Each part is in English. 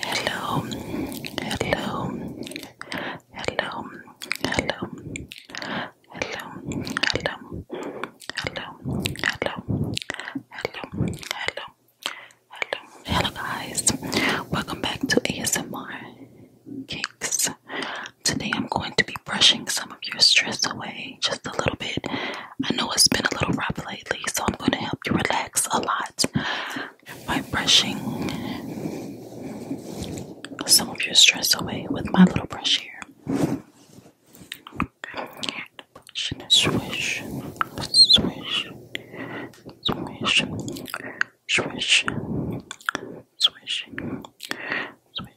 Hello, hello, hello, hello, hello, hello, hello, hello, hello, hello. Hello, hello guys. Welcome back to ASMR Kicks. Today I'm going to be brushing some of your stress away just a little bit. I know it's been a little rough lately, so I'm going to help you relax a lot by brushing some of your stress away with my little brush here. Brush swish, swish, swish, swish, swish, swish,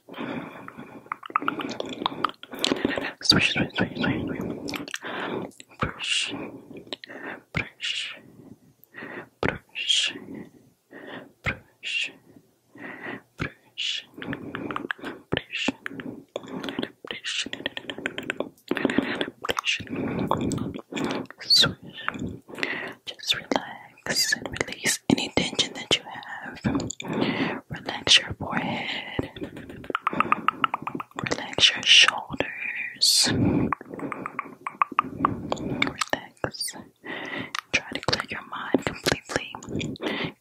Swish, swish, swish, swish. Brush, brush, brush, brush, brush, brush, brush, brush. Swish. Just relax and release any tension that you have. Relax your forehead. Relax your shoulders. Relax. Try to clear your mind completely.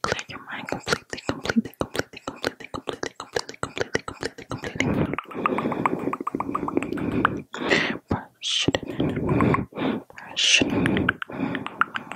Clear your mind completely, completely, completely, completely, completely, completely, completely, completely, completely. Brush. Brush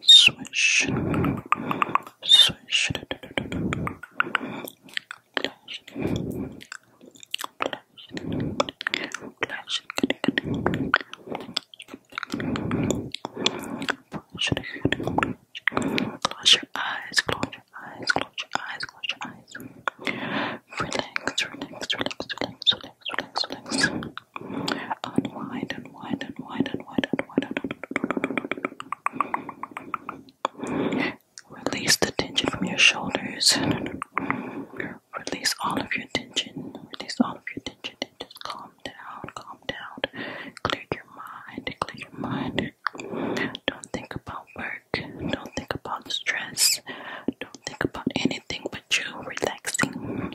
swish, swish, flash, flash, Close your eyes, close your eyes, close your eyes, close your eyes. Relax, relax, relax, relax, relax, relax. Unwind, and wide and wide Release the tension from your shoulders. Release all of your tension. Release all of your tension and just calm down, calm down. Clear your mind, clear your mind. Don't think about work. Don't think about stress. Don't think about anything but you relaxing.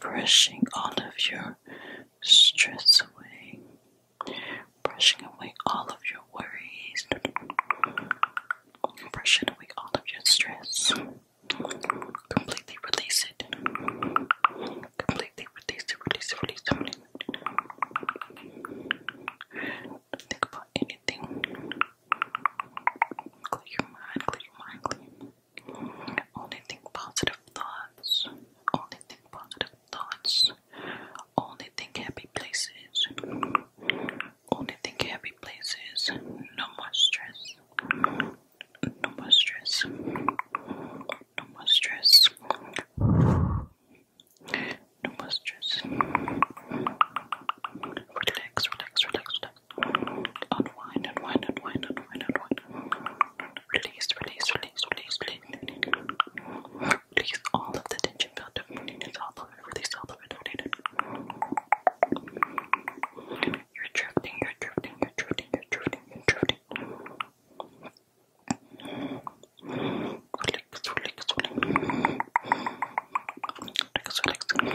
brushing all of your stress away, brushing away all of your worries, brushing away all of your stress, completely release it, completely release it, release it, release it. Release Don't think about anything. Clear your mind, clear your mind, clear your mind. Only think positive thoughts. Only think positive thoughts. Only think happy places. Only think happy places. No more stress. No more stress. No more stress. No more stress. Relax, relax, relax, Unwind, unwind, unwind, unwind, unwind. Release, release, release, release, release. Release all of the tension built up. Release all of it, release all of it, You're drifting, you're drifting, you're drifting, you're drifting, you're drifting. Relax, relax. Relax, relax.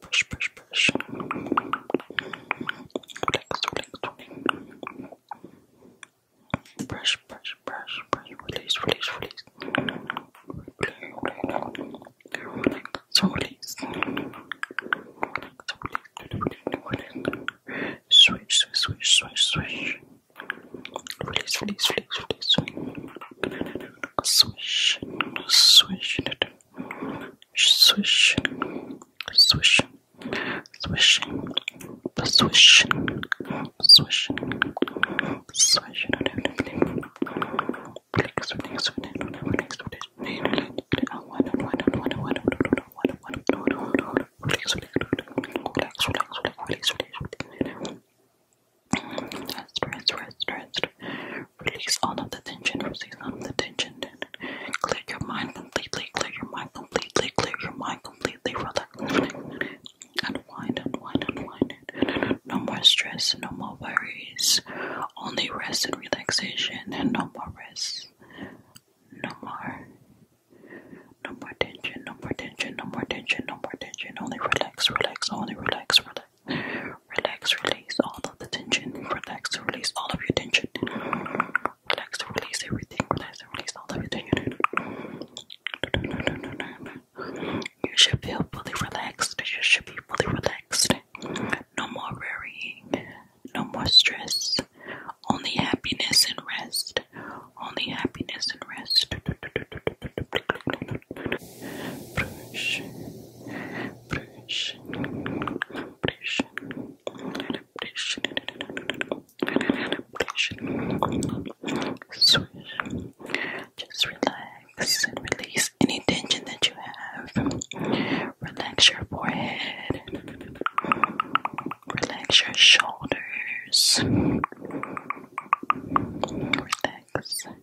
brush, brush, brush. Relax, relax. Brush, brush, brush, brush. Release, release, release. Relax, so release. Switch, switch, switch, switch, switch. Release, release, release, release. Swish, swish swish, swish, swish, swish, swish, swish. Rest, rest, rest, rest, rest, Release all of the tension. Release all of the tension. Clear your mind completely. Clear your mind completely. Clear your mind completely. Relax. Unwind, unwind, unwind. No more stress. No more worries. Only rest and relaxation. And no more rest. No more. No more tension. No more tension. No more tension. No more tension. Only relax. Relax. Only relax. Relax. Relax, release all of the tension. Relax, release all of your tension. Relax, release everything. Relax, release all of your tension. You should feel fully relaxed. You should be fully relaxed. No more worrying. No more stress. Only happiness and rest. Only happiness and rest brush, brush, brush, brush, brush, swish. Just relax and release any tension that you have. Relax your forehead. Relax your shoulders. Relax.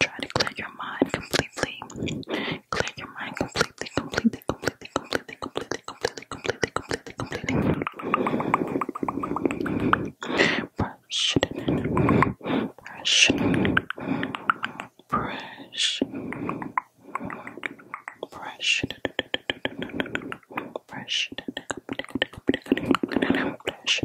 Try to clear your mind completely. Clear your mind completely, completely, completely, completely, completely, completely, completely, completely, completely. Brush it in. Brush it in. Brush. Brush it in. Brush it in. Brush.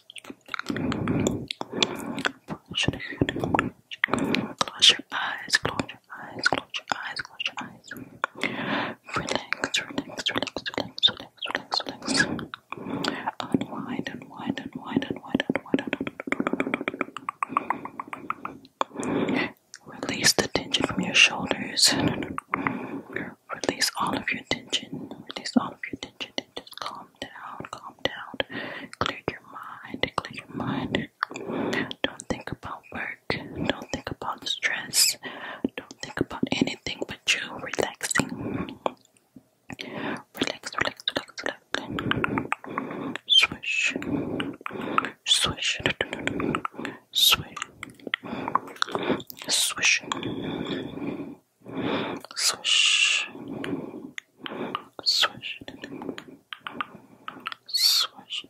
Close your eyes, close your eyes, close your eyes, close your eyes. Relax, relax, relax, relax, relax, relax, relax. Unwind, unwind, unwind, unwind, unwind. Release the tension from your shoulders. Release all of your tension. Release all of your tension just calm down, calm down, clear your mind, clear your mind. Don't think about work, don't think about stress, don't think about anything but you relaxing. Relax, relax, relax, relax. Swish, swish, swish, swish. Swish. Swish. Swish.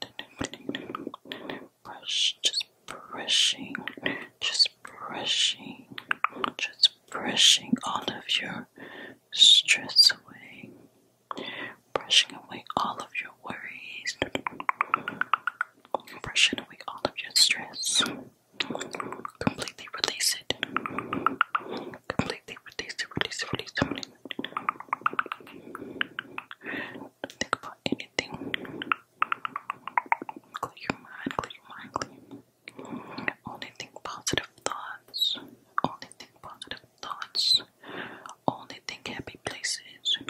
Brush. Just brushing. Just brushing. Just brushing all of your stress away. Brushing away all of your worries. Brushing away all of your stress. Completely release it. Completely release it, release it, release it. Don't think about anything. Clear your mind, clear your mind, Only think positive thoughts. Only think positive thoughts. Only think happy places.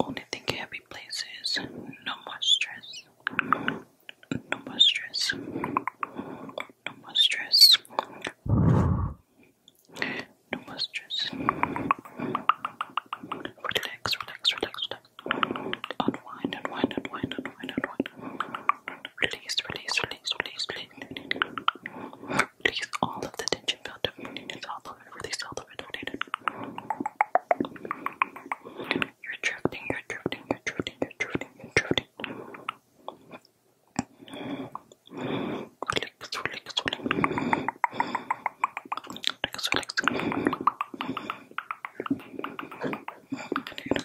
Only thinking happy places. No more stress. No more stress. No more stress. No more stress. Relax, relax, relax, relax. Unwind, unwind, unwind, unwind, unwind. Release, release, release, release, release. Release all of the tension built up. Release all of it. Release all you're drifting, you're drifting, you're drifting, you're drifting, you're drifting. Relax, relax, relax. Relax, relax. Relax,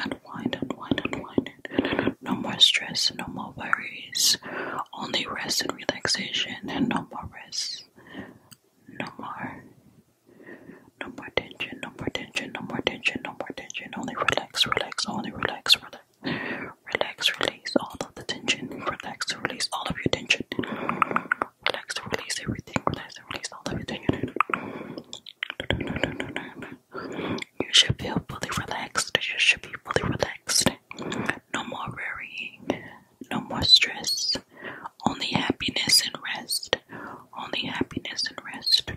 Unwind, unwind, unwind. No more stress, no more worries. Only rest and relaxation, and no more rest. No more. No more tension, no more tension, no more tension, no more tension. Only relax, relax, only relax, relax. Relax, release all of the tension. Relax, release all of your tension. Relax, release everything. Relax, release all of your tension. You should feel fully relaxed. You should be fully relaxed. No more worrying. No more stress. Only happiness and rest. Only happiness and rest.